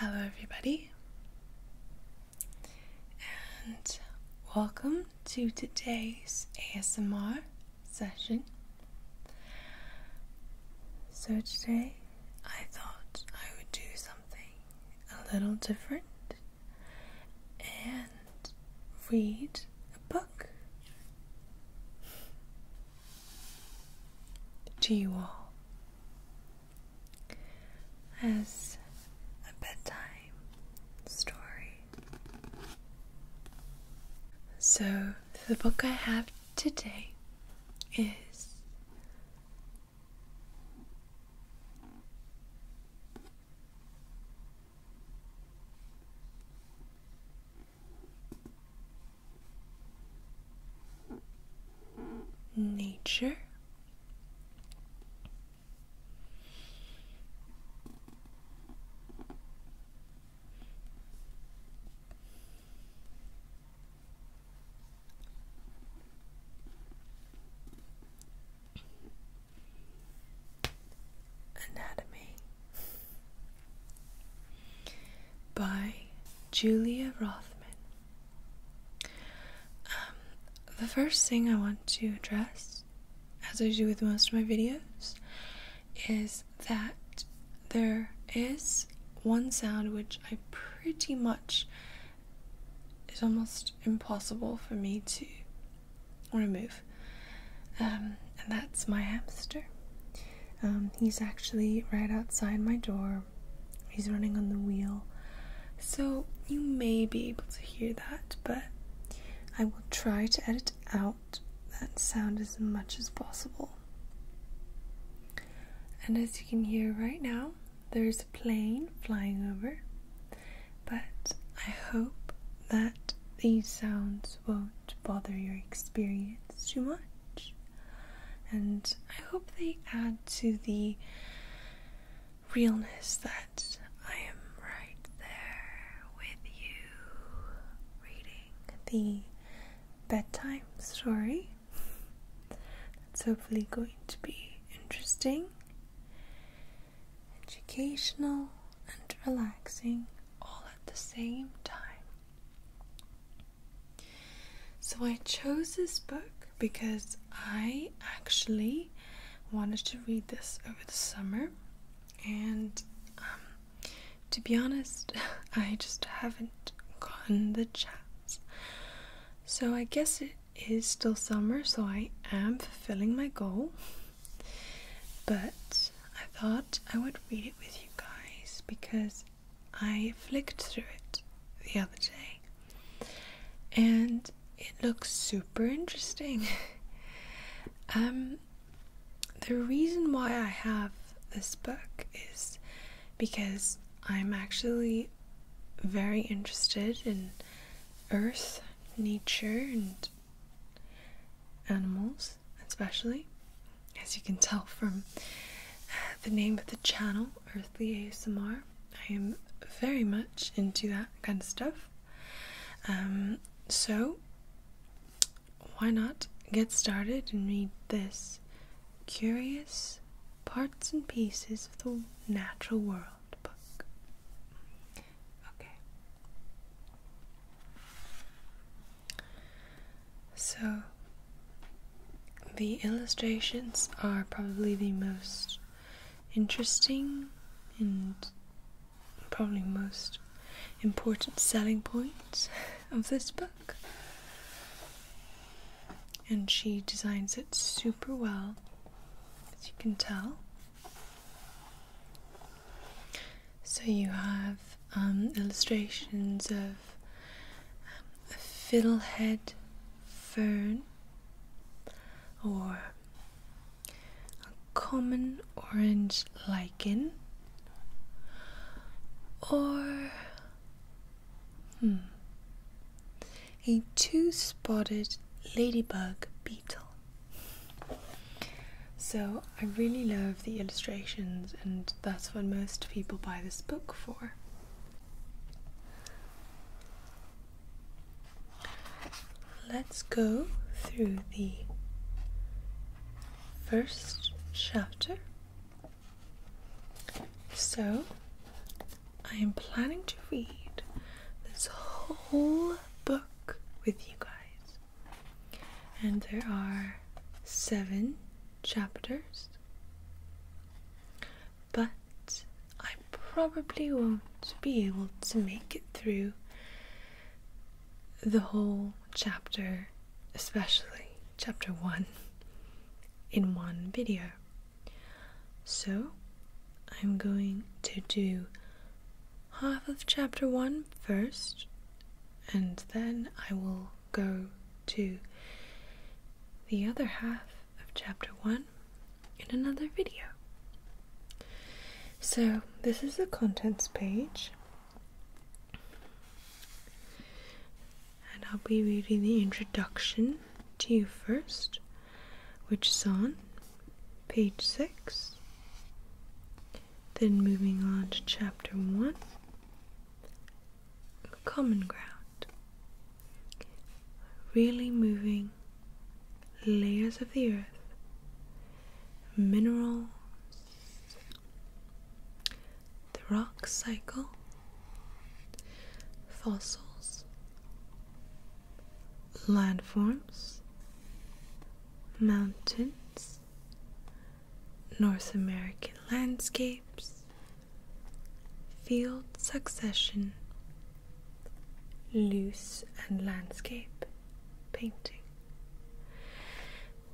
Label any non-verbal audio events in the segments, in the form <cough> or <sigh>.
Hello, everybody, and welcome to today's ASMR session. So, today I thought I would do something a little different and read a book to you all as a bedtime story. So, the book I have today is nature Anatomy by Julia Rothman. Um, the first thing I want to address, as I do with most of my videos, is that there is one sound which I pretty much is almost impossible for me to or a move. Um, and that's my hamster. Um, he's actually right outside my door. He's running on the wheel. So you may be able to hear that, but I will try to edit out that sound as much as possible. And as you can hear right now, there's a plane flying over, but I hope that these sounds won't bother your experience too much. And I hope they add to the realness that I am right there with you reading the bedtime story. It's hopefully going to be interesting educational and relaxing all at the same time. So I chose this book because I actually wanted to read this over the summer and um, to be honest, <laughs> I just haven't gotten the chance. So I guess it is still summer, so I am fulfilling my goal. But I thought I would read it with you guys because I flicked through it the other day and it looks super interesting. <laughs> um, the reason why I have this book is because I'm actually very interested in earth, nature, and animals, especially, as you can tell from uh, the name of the channel, Earthly ASMR. I am very much into that kind of stuff. Um, so, why not get started and read this Curious Parts and Pieces of the Natural World book? Okay. So the illustrations are probably the most interesting and probably most important selling points <laughs> of this book. And she designs it super well, as you can tell. So you have um, illustrations of um, a fiddlehead fern or a common orange lichen or hmm, a two spotted ladybug so I really love the illustrations, and that's what most people buy this book for. Let's go through the first chapter. So, I am planning to read this whole book with you guys and there are seven chapters, but I probably won't be able to make it through the whole chapter, especially chapter one, in one video. So I'm going to do half of chapter one first, and then I will go to the other half of chapter one in another video. So, this is the contents page, and I'll be reading the introduction to you first, which is on page 6. Then moving on to chapter 1 Common Ground. Really moving layers of the earth, minerals, the rock cycle, fossils, landforms, mountains, North American landscapes, field succession, loose and landscape painting.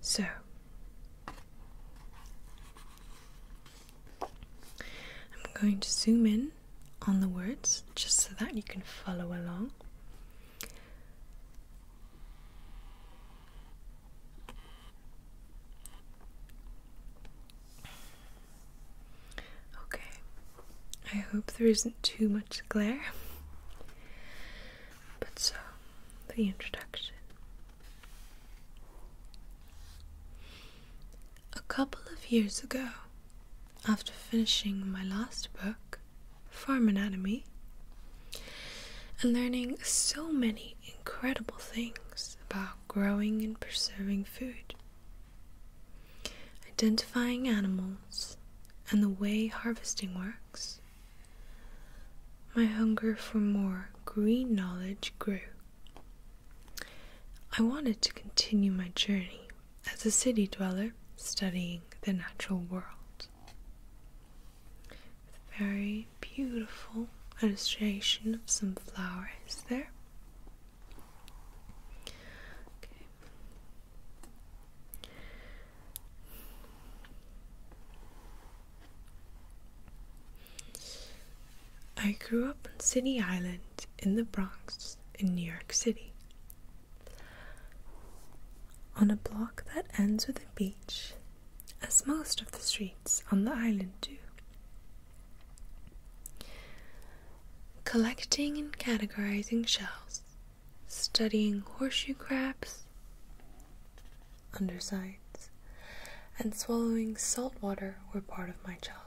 So, I'm going to zoom in on the words just so that you can follow along. Okay, I hope there isn't too much glare. But so, the introduction. A couple of years ago, after finishing my last book, farm anatomy and learning so many incredible things about growing and preserving food, identifying animals, and the way harvesting works. My hunger for more green knowledge grew. I wanted to continue my journey as a city dweller studying the natural world very beautiful illustration of some flowers there. I grew up on City Island in the Bronx in New York City. On a block that ends with a beach, as most of the streets on the island do. Collecting and categorizing shells, studying horseshoe crabs, undersides, and swallowing salt water were part of my childhood.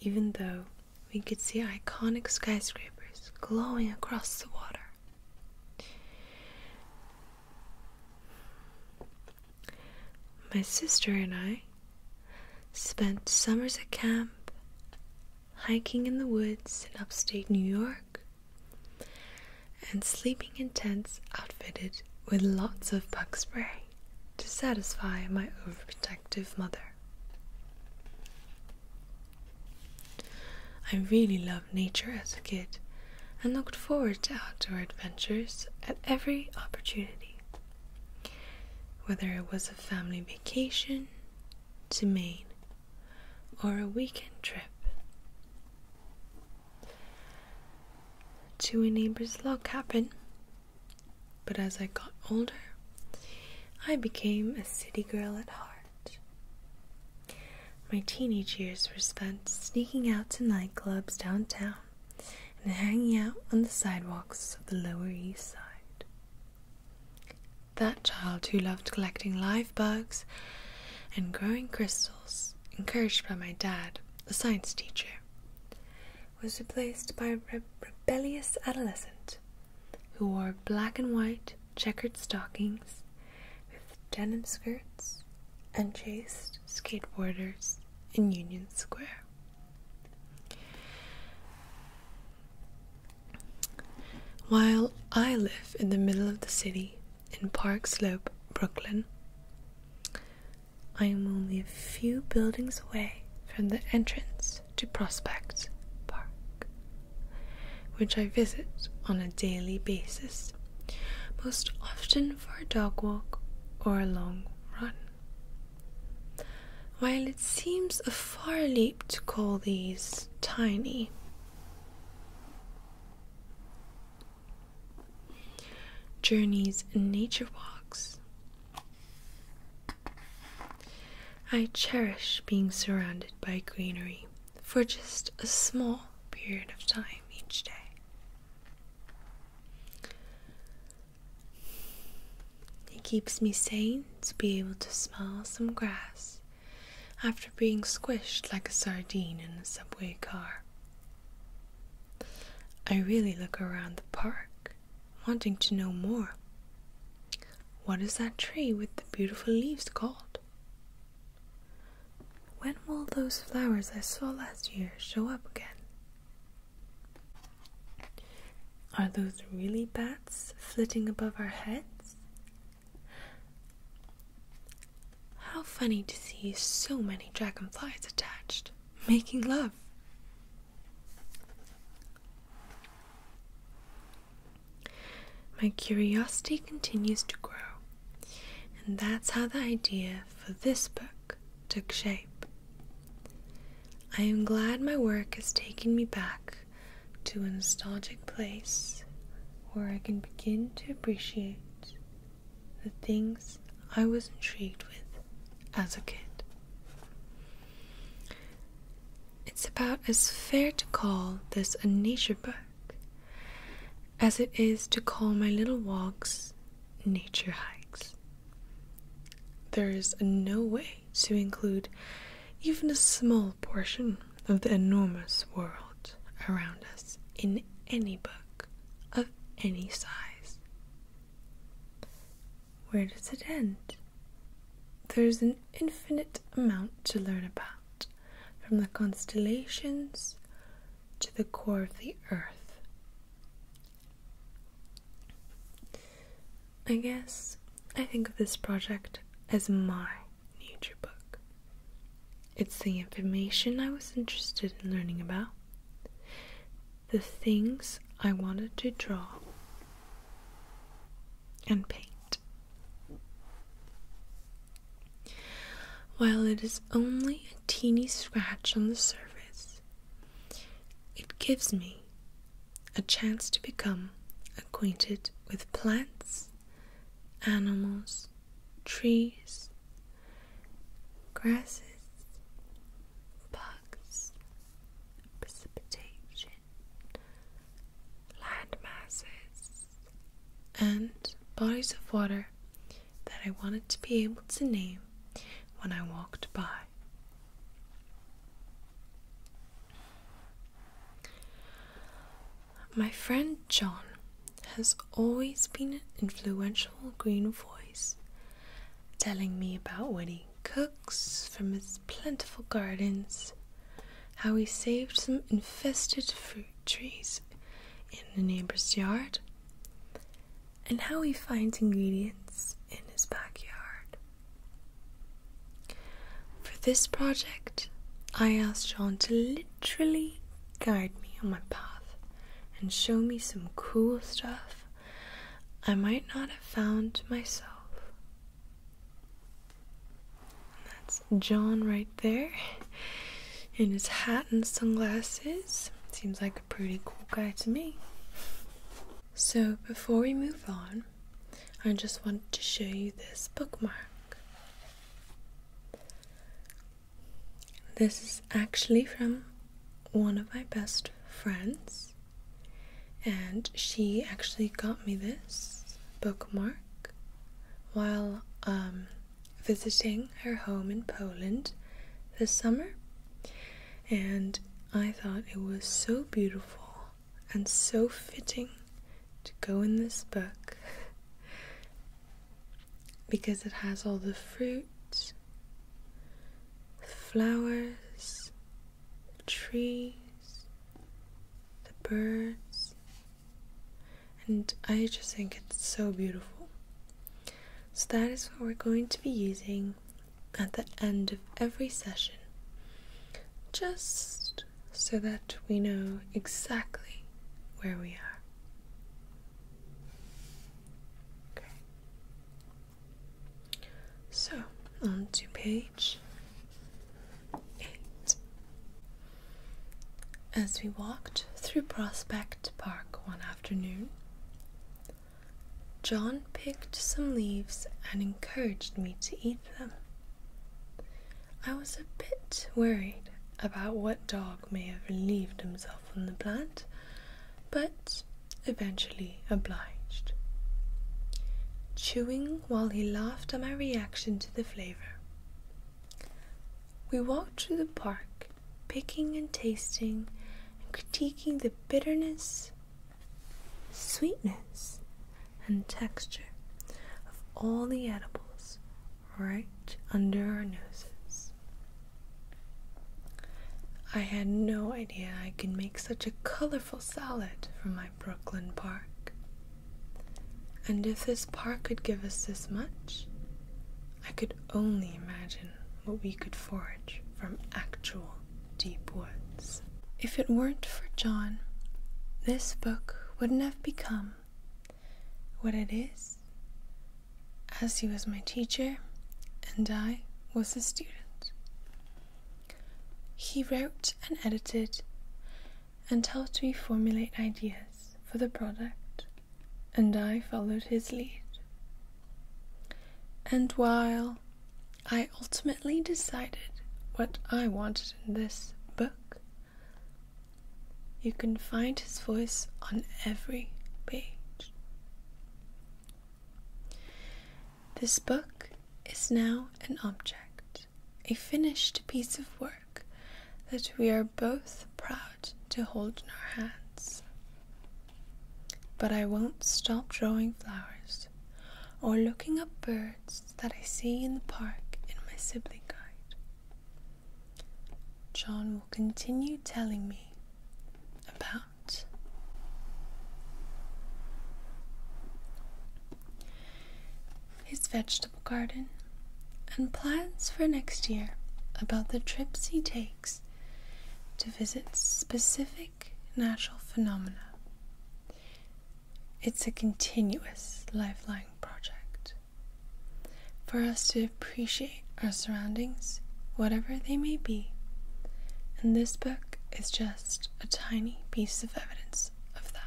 Even though we could see iconic skyscrapers glowing across the water. My sister and I spent summers at camp, hiking in the woods in upstate New York, and sleeping in tents outfitted with lots of bug spray to satisfy my overprotective mother. I really loved nature as a kid and looked forward to outdoor adventures at every opportunity. Whether it was a family vacation to Maine or a weekend trip to a neighbor's log cabin. But as I got older, I became a city girl at heart. My teenage years were spent sneaking out to nightclubs downtown and hanging out on the sidewalks of the Lower East Side. That child who loved collecting live bugs and growing crystals, encouraged by my dad, a science teacher, was replaced by a rebellious adolescent who wore black and white checkered stockings with denim skirts and chased skateboarders in Union Square. While I live in the middle of the city in Park Slope, Brooklyn, I am only a few buildings away from the entrance to Prospect Park, which I visit on a daily basis, most often for a dog walk or a long run. While it seems a far leap to call these tiny, Journeys and nature walks I cherish being surrounded by greenery for just a small period of time each day. It keeps me sane to be able to smell some grass after being squished like a sardine in a subway car. I really look around the park, wanting to know more what is that tree with the beautiful leaves called? When will those flowers I saw last year show up again? Are those really bats flitting above our heads? How funny to see so many dragonflies attached, making love. My curiosity continues to grow, and that's how the idea for this book took shape. I am glad my work is taking me back to a nostalgic place where I can begin to appreciate the things I was intrigued with as a kid. It's about as fair to call this a nature book as it is to call my little walks nature hikes. There is no way to include even a small portion of the enormous world around us in any book of any size. Where does it end? There's an infinite amount to learn about, from the constellations to the core of the earth. I guess I think of this project as my nature book. It's the information I was interested in learning about, the things I wanted to draw, and paint. While it is only a teeny scratch on the surface, it gives me a chance to become acquainted with plants, animals, trees, grasses, bugs, precipitation, land masses, and bodies of water that I wanted to be able to name when I walked by. My friend John has always been an influential green voice, telling me about what he cooks from his plentiful gardens, how he saved some infested fruit trees in the neighbor's yard, and how he finds ingredients in his backyard. For this project, I asked John to literally guide me on my path and show me some cool stuff I might not have found myself. That's John right there in his hat and sunglasses. Seems like a pretty cool guy to me. So, before we move on, I just want to show you this bookmark. This is actually from one of my best friends, and she actually got me this bookmark while um, visiting her home in Poland this summer, and I thought it was so beautiful and so fitting to go in this book <laughs> because it has all the fruit, the flowers, the trees, the birds, and I just think it's so beautiful. So that is what we're going to be using at the end of every session, just so that we know exactly where we are. Okay. So, on to page 8. As we walked through Prospect Park one afternoon, John picked some leaves and encouraged me to eat them. I was a bit worried about what dog may have relieved himself on the plant, but eventually obliged, chewing while he laughed at my reaction to the flavour. We walked through the park, picking and tasting and critiquing the bitterness, sweetness, and texture of all the edibles right under our noses. I had no idea I could make such a colorful salad from my Brooklyn park. And if this park could give us this much, I could only imagine what we could forage from actual deep woods. If it weren't for John, this book wouldn't have become what it is, as he was my teacher and I was a student. He wrote and edited and helped me formulate ideas for the product, and I followed his lead. And while I ultimately decided what I wanted in this book, you can find his voice on every page. This book is now an object a finished piece of work that we are both proud to hold in our hands. But I won't stop drawing flowers or looking up birds that I see in the park in my sibling guide. John will continue telling me about his vegetable garden and plans for next year about the trips he takes to visit specific natural phenomena. It's a continuous lifeline project for us to appreciate our surroundings, whatever they may be, and this book is just a tiny piece of evidence of that.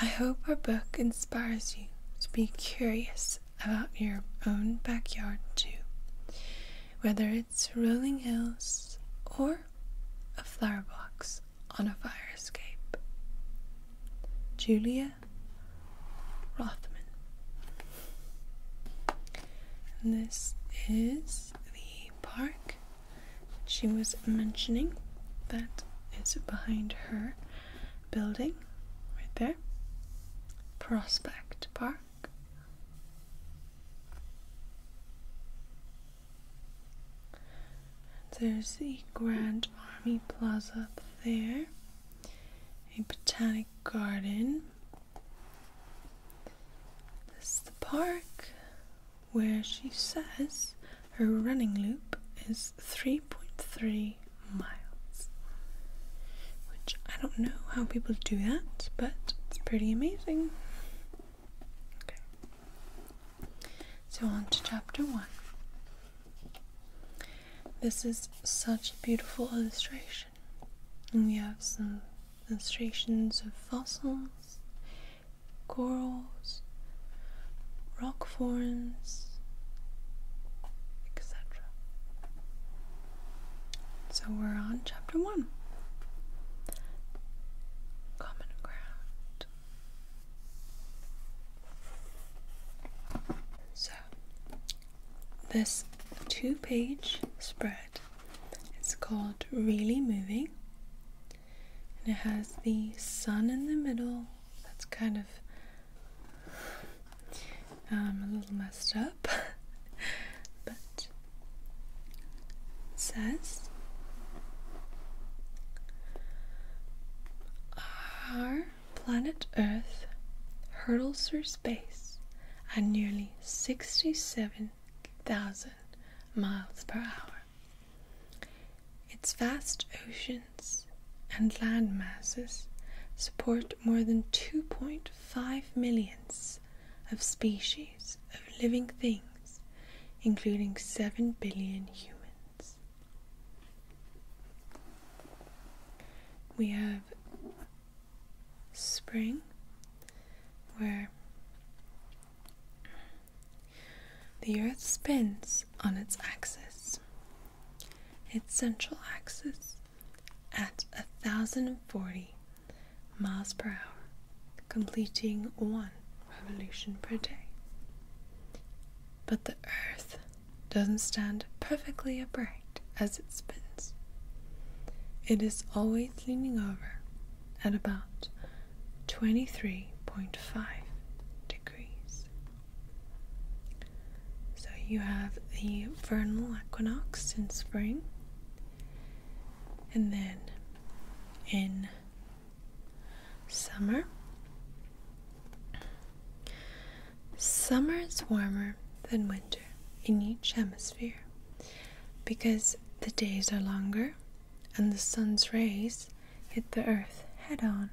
I hope our book inspires you to be curious about your own backyard too, whether it's rolling hills or a flower box on a fire escape. Julia Rothman. this is the park she was mentioning that is behind her building right there Prospect Park. There's the Grand Army Plaza up there, a botanic garden. This is the park where she says her running loop is 3.3 miles. Which I don't know how people do that, but it's pretty amazing. Okay. So on to chapter 1. This is such a beautiful illustration. And we have some illustrations of fossils corals, rock forms, etc. So we're on chapter one Common Ground. So this two page spread is called Really Moving and it has the sun in the middle. That's kind of um, a little messed up. <laughs> but it says Our planet Earth hurtles through space at nearly 67,000 miles per hour. Its vast oceans and landmasses support more than 2.5 millions of species of living things, including 7 billion humans. We have spring, where the Earth spins on its axis, its central axis, at 1040 miles per hour, completing one revolution per day. But the Earth doesn't stand perfectly upright as it spins. It is always leaning over at about 23.5 degrees. So you have the vernal equinox in spring, and then in summer. Summer is warmer than winter in each hemisphere because the days are longer and the sun's rays hit the earth head on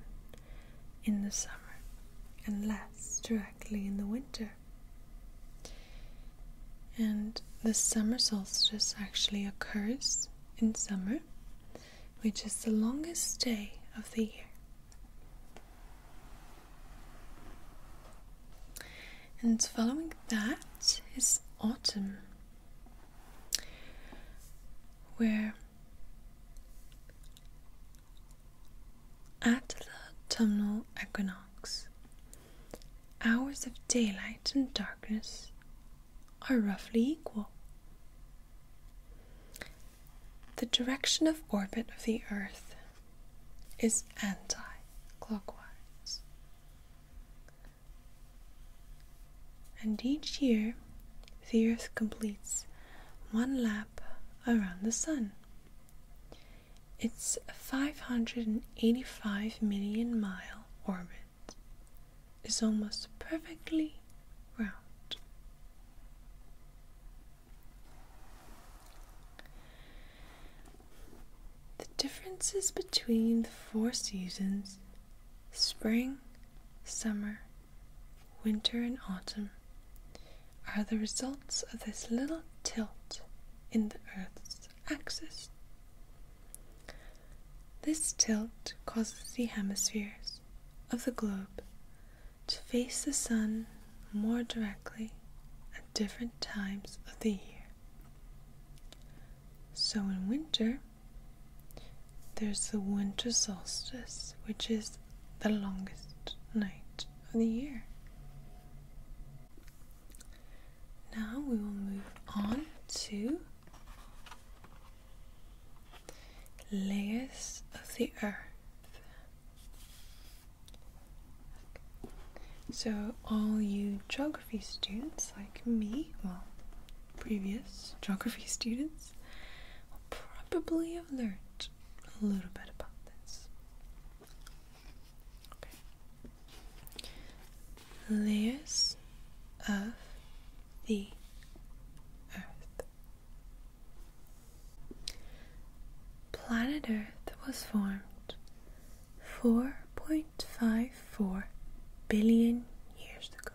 in the summer and less directly in the winter. And the summer solstice actually occurs in summer, which is the longest day of the year. And following that is autumn where at the autumnal equinox, hours of daylight and darkness are roughly equal. The direction of orbit of the Earth is anti clockwise. And each year, the Earth completes one lap around the Sun. Its 585 million mile orbit is almost perfectly round. The differences between the four seasons Spring, summer, winter, and autumn are the results of this little tilt in the Earth's axis. This tilt causes the hemispheres of the globe to face the sun more directly at different times of the year. So in winter, there's the winter solstice, which is the longest night of the year. Now we will move on to layers of the earth. So, all you geography students like me, well, previous geography <laughs> students, friends probably have learned a little bit about this. Layers of the Earth. Planet Earth was formed 4.54 billion years ago.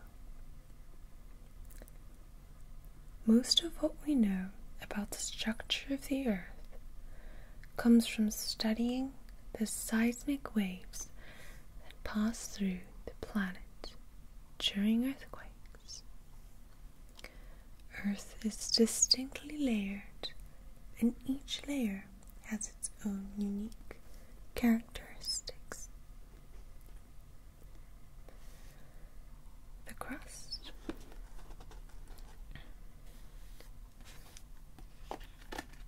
Most of what we know about the structure of the Earth comes from studying the seismic waves that pass through the planet during earthquakes. Earth is distinctly layered, and each layer has its own unique characteristics the crust.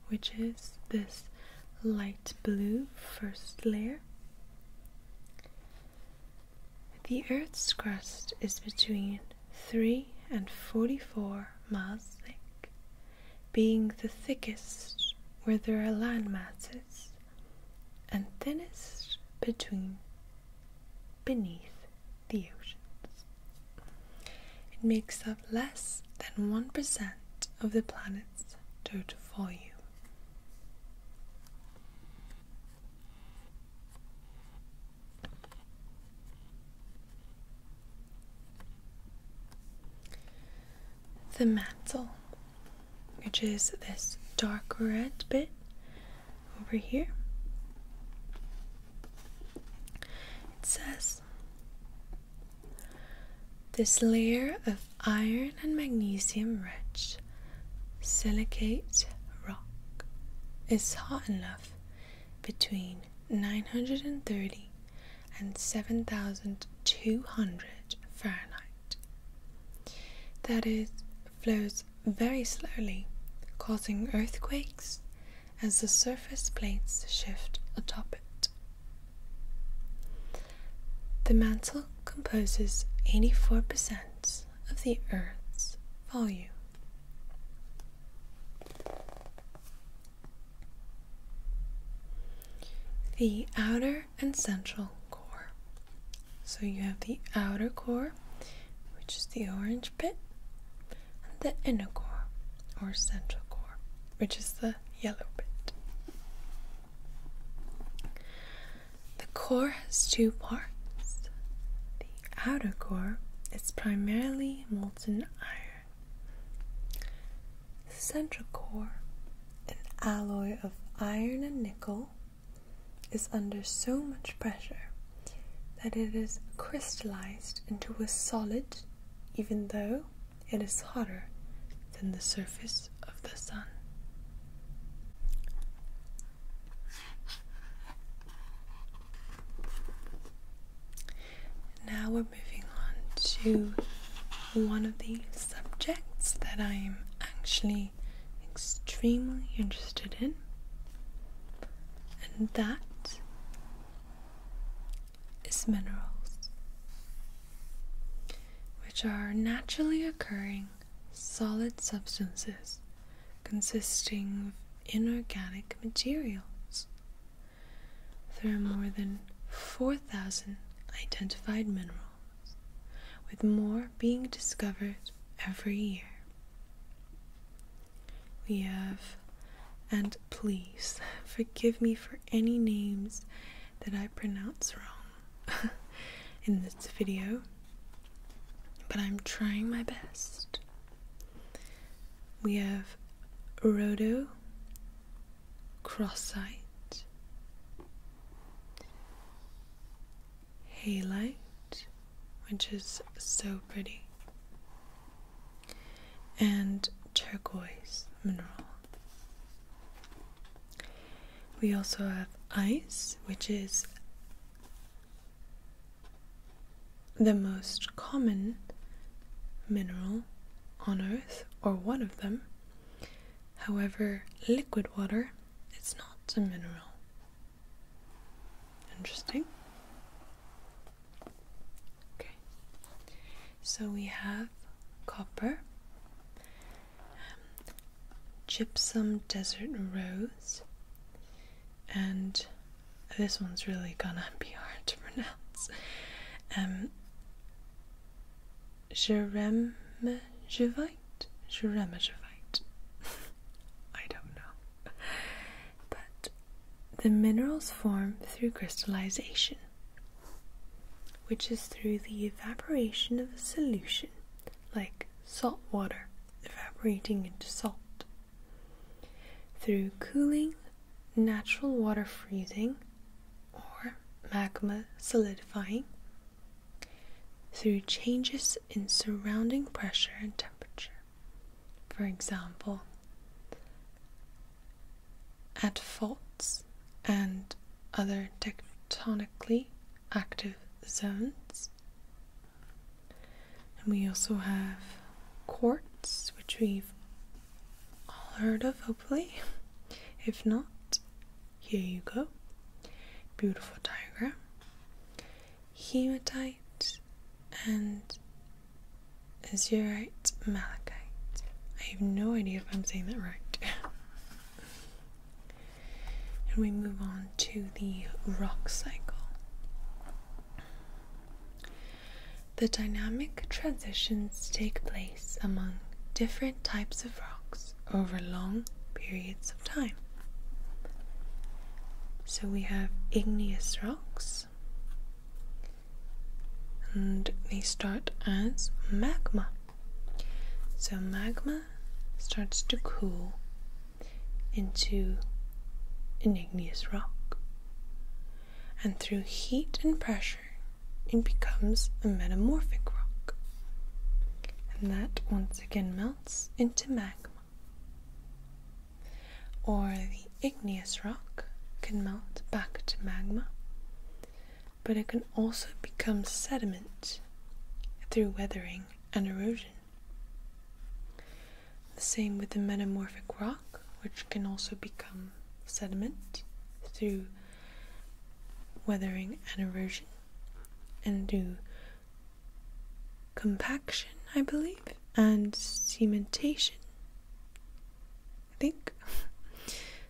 Which is this light blue first layer. The Earth's crust is between 3 and 44 miles thick, being the thickest where there are land masses and thinnest between beneath the oceans. It makes up less than 1% of the planet's total volume. The mantle which is this dark red bit over here. It says this layer of iron and magnesium rich silicate rock is hot enough between 930 and 7200 Fahrenheit that it flows very slowly, causing earthquakes as the surface plates shift atop it. The mantle composes 84% of the Earth's volume. The outer and central core. So you have the outer core, which is the orange bit, and the inner core, or central core, which is the yellow bit. The core has two parts. The outer core is primarily molten iron. Central core, an alloy of iron and nickel, is under so much pressure that it is crystallized into a solid even though it is hotter than the surface of the sun. Now we're moving on to one of the subjects that I'm actually extremely interested in, and that is minerals, which are naturally occurring solid substances consisting of inorganic materials. There are more than 4,000 identified minerals with more being discovered every year. We have, and please forgive me for any names that I pronounce wrong <laughs> in this video, but I'm trying my best. We have Rhodo, Crossite, halite, which is so pretty, and turquoise mineral. We also have ice, which is the most common mineral on Earth, or one of them, However, liquid water is not a mineral. Interesting. Okay, so we have copper, um, gypsum desert rose, and this one's really gonna <laughs> be hard to pronounce. Um, Jeremjevite? Jeremjevite. <laughs> I don't know. But the minerals form through crystallization, which is through the evaporation of a solution, like salt water evaporating into salt. Through cooling, natural water freezing, or magma solidifying, through changes in surrounding pressure and temperature. For example, at faults and other tectonically active zones. And we also have quartz, which we've all heard of, hopefully. <laughs> If not, here you go. Beautiful diagram. Hematite and azurite malachite. I have no idea if I'm saying that right. <laughs> and we move on to the rock cycle. The dynamic transitions take place among different types of rocks over long periods of time. So we have igneous rocks, and they start as magma. So magma starts to cool into an igneous rock, and through heat and pressure, it becomes a metamorphic rock and that once again melts into magma. Or the igneous rock can melt back to magma, but it can also become sediment through weathering and erosion. The same with the metamorphic rock, which can also become sediment through weathering and erosion and do compaction, I believe, and cementation. I think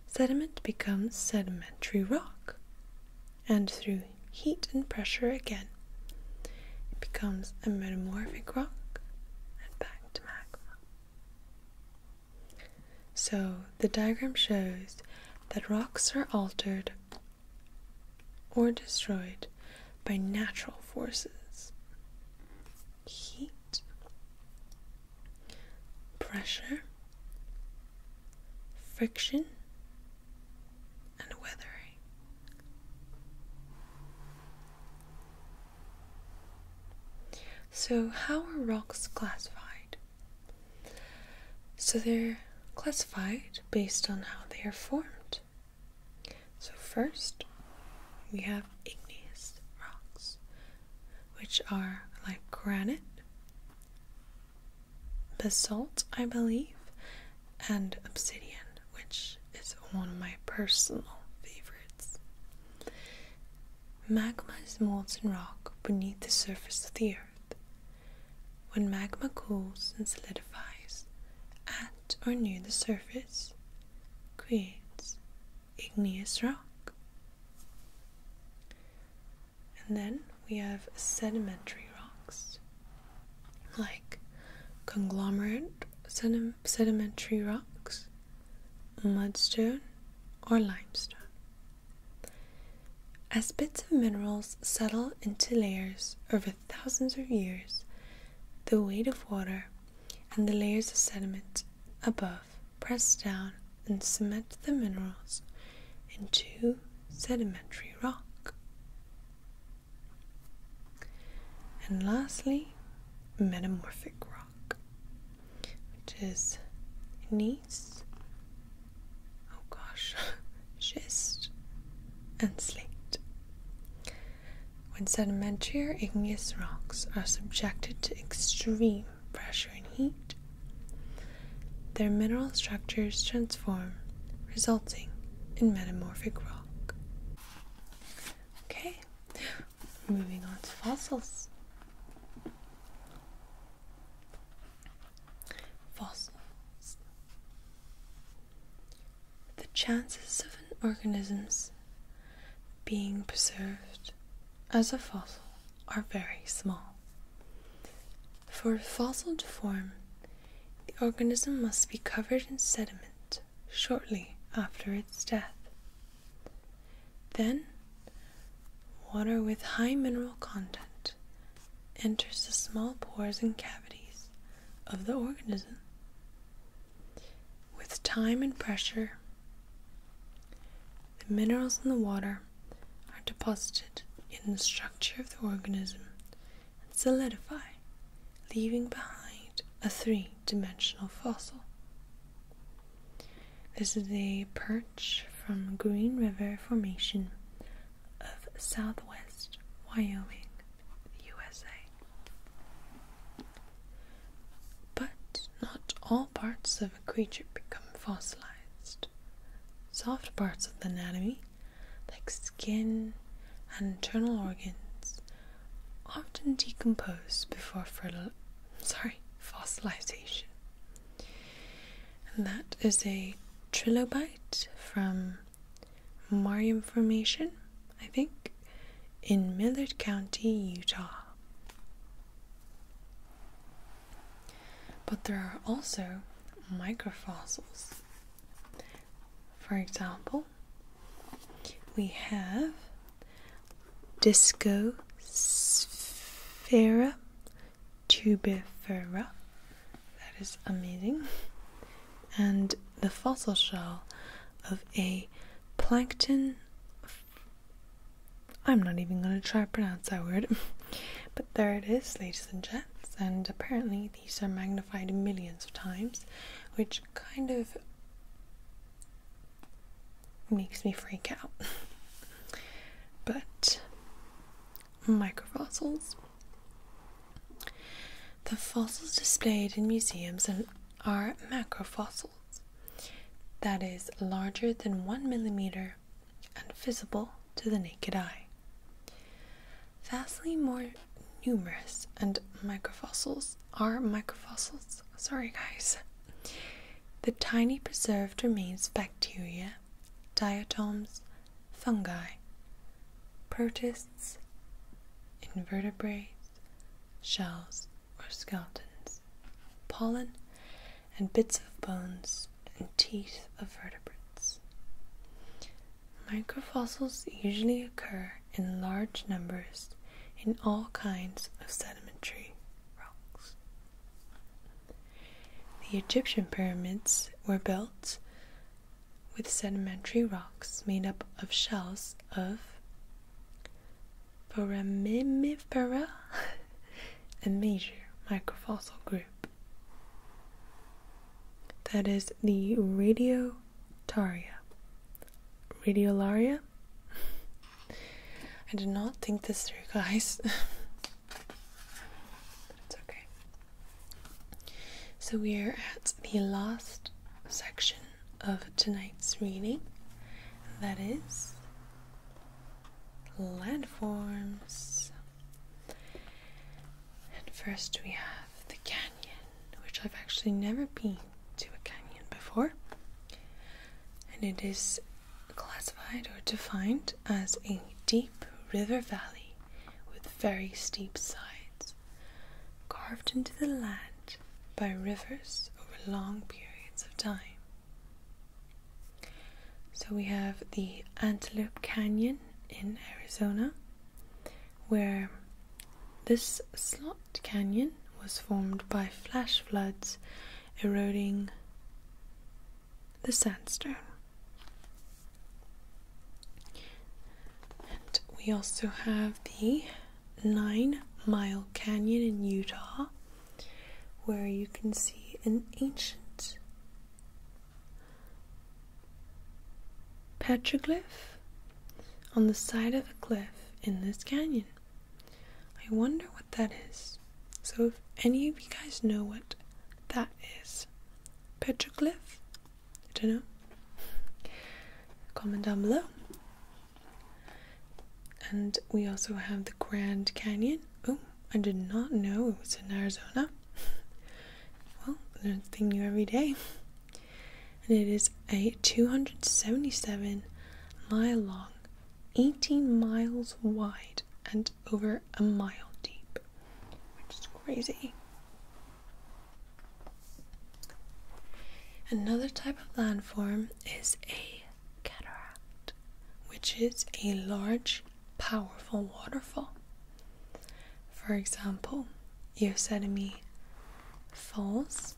sediment becomes sedimentary rock, and through heat and pressure again, it becomes a metamorphic rock and back to magma. So the diagram shows that rocks are altered or destroyed by natural forces. Heat, pressure, friction, and weathering. So, how are rocks classified? So they're classified based on how they are formed. So, first, we have igneous rocks, which are like granite, basalt, I believe, and obsidian, which is one of my personal favorites. Magma is molten rock beneath the surface of the earth when magma cools and solidifies at or near the surface, creates igneous rock. And then we have sedimentary rocks, like conglomerate sedimentary rocks, mudstone, or limestone. As bits of minerals settle into layers over thousands of years, the weight of water and the layers of sediment above press down and cement the minerals into sedimentary rock. And lastly, metamorphic rock, which is an knees. Oh gosh, schist <laughs> and slate. When sedimentary or igneous rocks are subjected to extreme pressure and heat, their mineral structures transform, resulting in metamorphic rock. Okay, moving on to fossils. Fossils. The chances of an organism's being preserved as a fossil are very small. For a fossil to form, the organism must be covered in sediment shortly after its death. Then, water with high mineral content enters the small pores and cavities of the organism. With time and pressure, the minerals in the water are deposited in the structure of the organism and solidify, leaving behind a three dimensional fossil. This is a perch from Green River Formation of Southwest Wyoming, USA. But not all parts of a creature become fossilized. Soft parts of the anatomy, like skin and internal organs, often decompose before fossilization. And that is a trilobite from Marion Formation, I think, in Millard County, Utah. But there are also microfossils. For example, we have Discosphaera tubifera. That is amazing. And the fossil shell of a plankton. I'm not even going to try to pronounce that word. <laughs> but there it is, ladies and gents. And apparently, these are magnified millions of times, which kind of makes me freak out. <laughs> but microfossils the fossils displayed in museums are macrofossils, that is, larger than one millimeter and visible to the naked eye. Vastly more numerous and microfossils are microfossils. Sorry, guys. The tiny preserved remains of bacteria diatoms, fungi, protists, invertebrates, shells or skeletons, pollen, and bits of bones and teeth of vertebrates. Microfossils usually occur in large numbers in all kinds of sedimentary rocks. The Egyptian pyramids were built with sedimentary rocks made up of shells of foraminifera, a major microfossil group. That is the Radiotaria. Radiolaria? <laughs> I did not think this through, guys. <laughs> it's okay. So we are at the last section of tonight's reading. That is landforms. And first we have the canyon, which I've actually never been to a canyon before. And it is classified or defined as a deep river valley with very steep sides, carved into the land by rivers over long periods of time. So we have the Antelope Canyon in Arizona, where this slot canyon was formed by flash floods eroding the sandstone. And we also have the Nine Mile Canyon in Utah, where you can see an ancient petroglyph on the side of a cliff in this canyon. I wonder what that is. So, if any of you guys know what that is petroglyph. I don't know. Comment down below. And we also have the Grand Canyon. Oh, I did not know it was in Arizona. <laughs> well, learn something new every day. And it is a 277 mile long, 18 miles wide, and over a mile deep which is crazy. Another type of landform is a cataract, which is a large, powerful waterfall. For example, Yosemite Falls.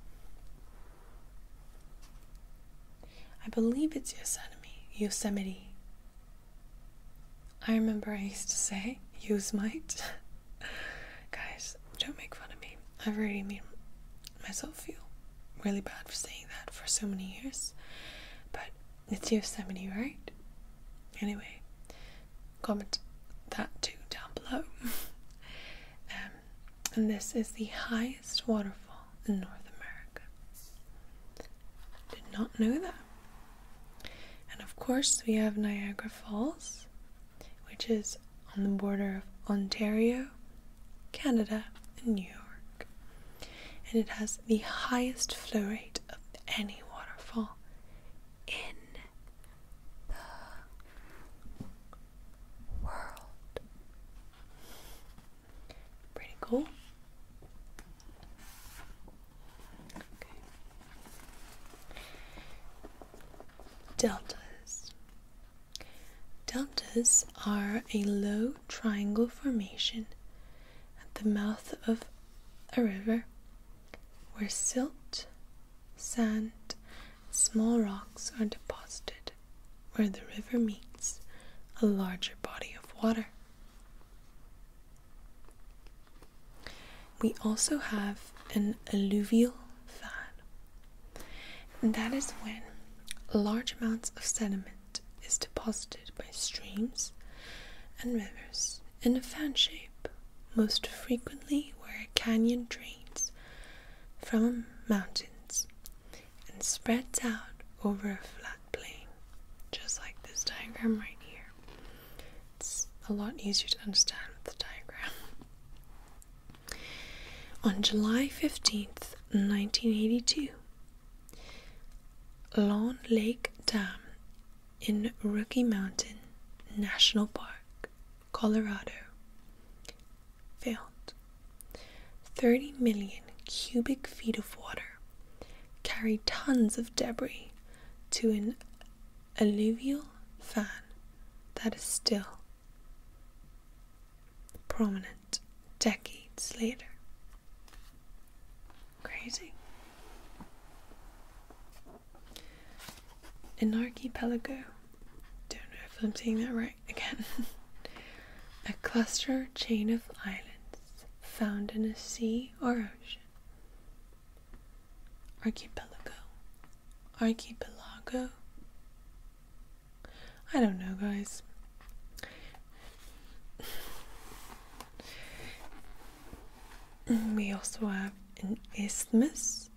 I believe it's Yosemite. Yosemite. I remember I used to say, use might. <laughs> Guys, don't make fun of me. I've already made myself feel really bad for saying that for so many years. But it's Yosemite, right? Anyway, comment that too down below. <laughs> Um, and this is the highest waterfall in North America. Did not know that. And of course, we have Niagara Falls, which is on the border of Ontario, Canada, and New York. And it has the highest flow rate of any waterfall in the world. Pretty cool. Deltas. Deltas are a low triangle formation at the mouth of a river where silt, sand, small rocks are deposited where the river meets a larger body of water. We also have an alluvial fan. that is when large amounts of sediment is deposited by streams and rivers in a fan shape, most frequently where a canyon drains from mountains and spreads out over a flat plain, just like this diagram right here. It's a lot easier to understand with the diagram. On July 15th, 1982, Long Lake Dam in Rocky Mountain National Park, Colorado, filled. 30 million cubic feet of water carried tons of debris to an alluvial fan that is still prominent decades later. Crazy. An archipelago, don't know if I'm saying that right again, <laughs> a cluster or chain of islands found in a sea or ocean Archipelago. Archipelago? I don't know, guys. we also have an isthmus,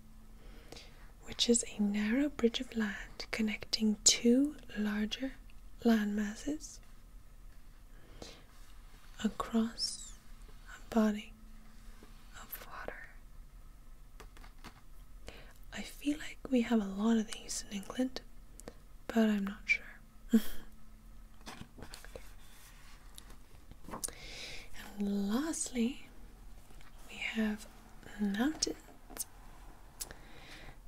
which is a narrow bridge of land connecting two larger land masses across a body of water. I feel like we have a lot of these in England, but I'm not sure. <laughs> and lastly, we have mountains.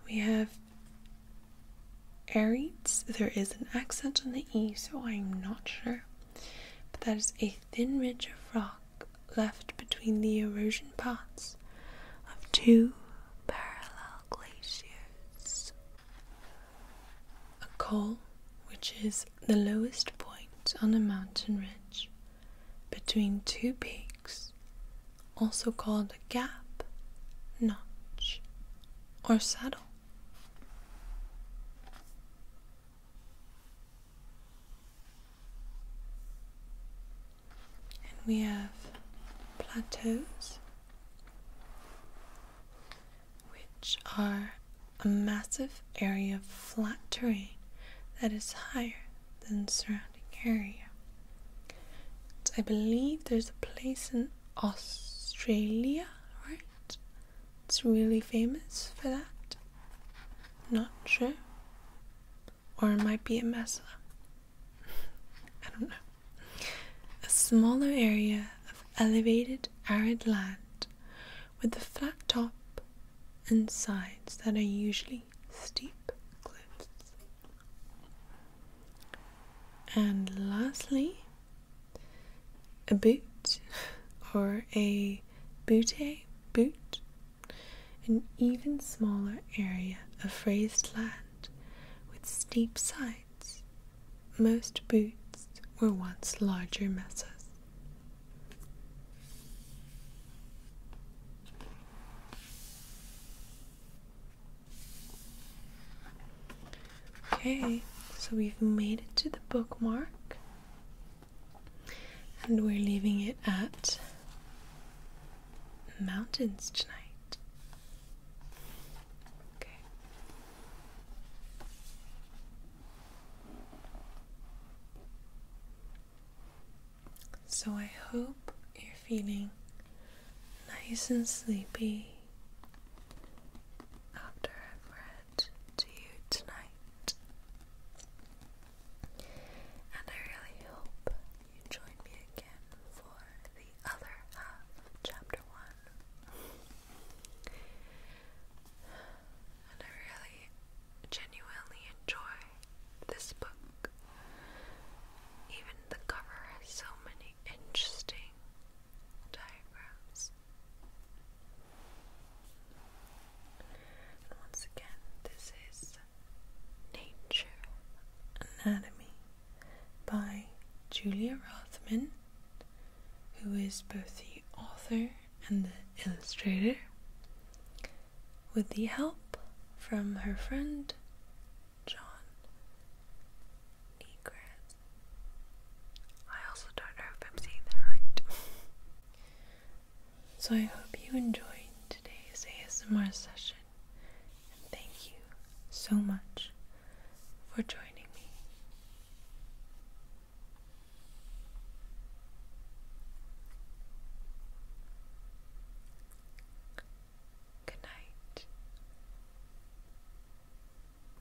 We have Aries. There is an accent on the E, so I'm not sure. But that is a thin ridge of rock left between the erosion paths of two parallel glaciers. A col, which is the lowest point on a mountain ridge between two peaks, also called a gap, notch, or saddle we have plateaus, which are a massive area of flat terrain that is higher than surrounding area. I believe there's a place in Australia, right? It's really famous for that. Not sure. Or it might be a mesa. <laughs> I don't know. A smaller area of elevated arid land with a flat top and sides that are usually steep cliffs. And lastly, a boot or a bootay eh? boot, an even smaller area of raised land with steep sides. Most boots were once larger mesas. Okay, so we've made it to the bookmark, and we're leaving it at mountains tonight. Okay. So I hope you're feeling nice and sleepy after I've read to you tonight. And I really hope you join me again for the other half of chapter one. and I really genuinely enjoy this book. Even the cover has so many interesting diagrams. And once again, this is Nature Anatomy by Julia Rothman, who is both the author and the illustrator, with the help from her friend John Negress. I also don't know if I'm saying that right. <laughs> so I hope you enjoyed today's ASMR session and thank you so much for joining me. Good night.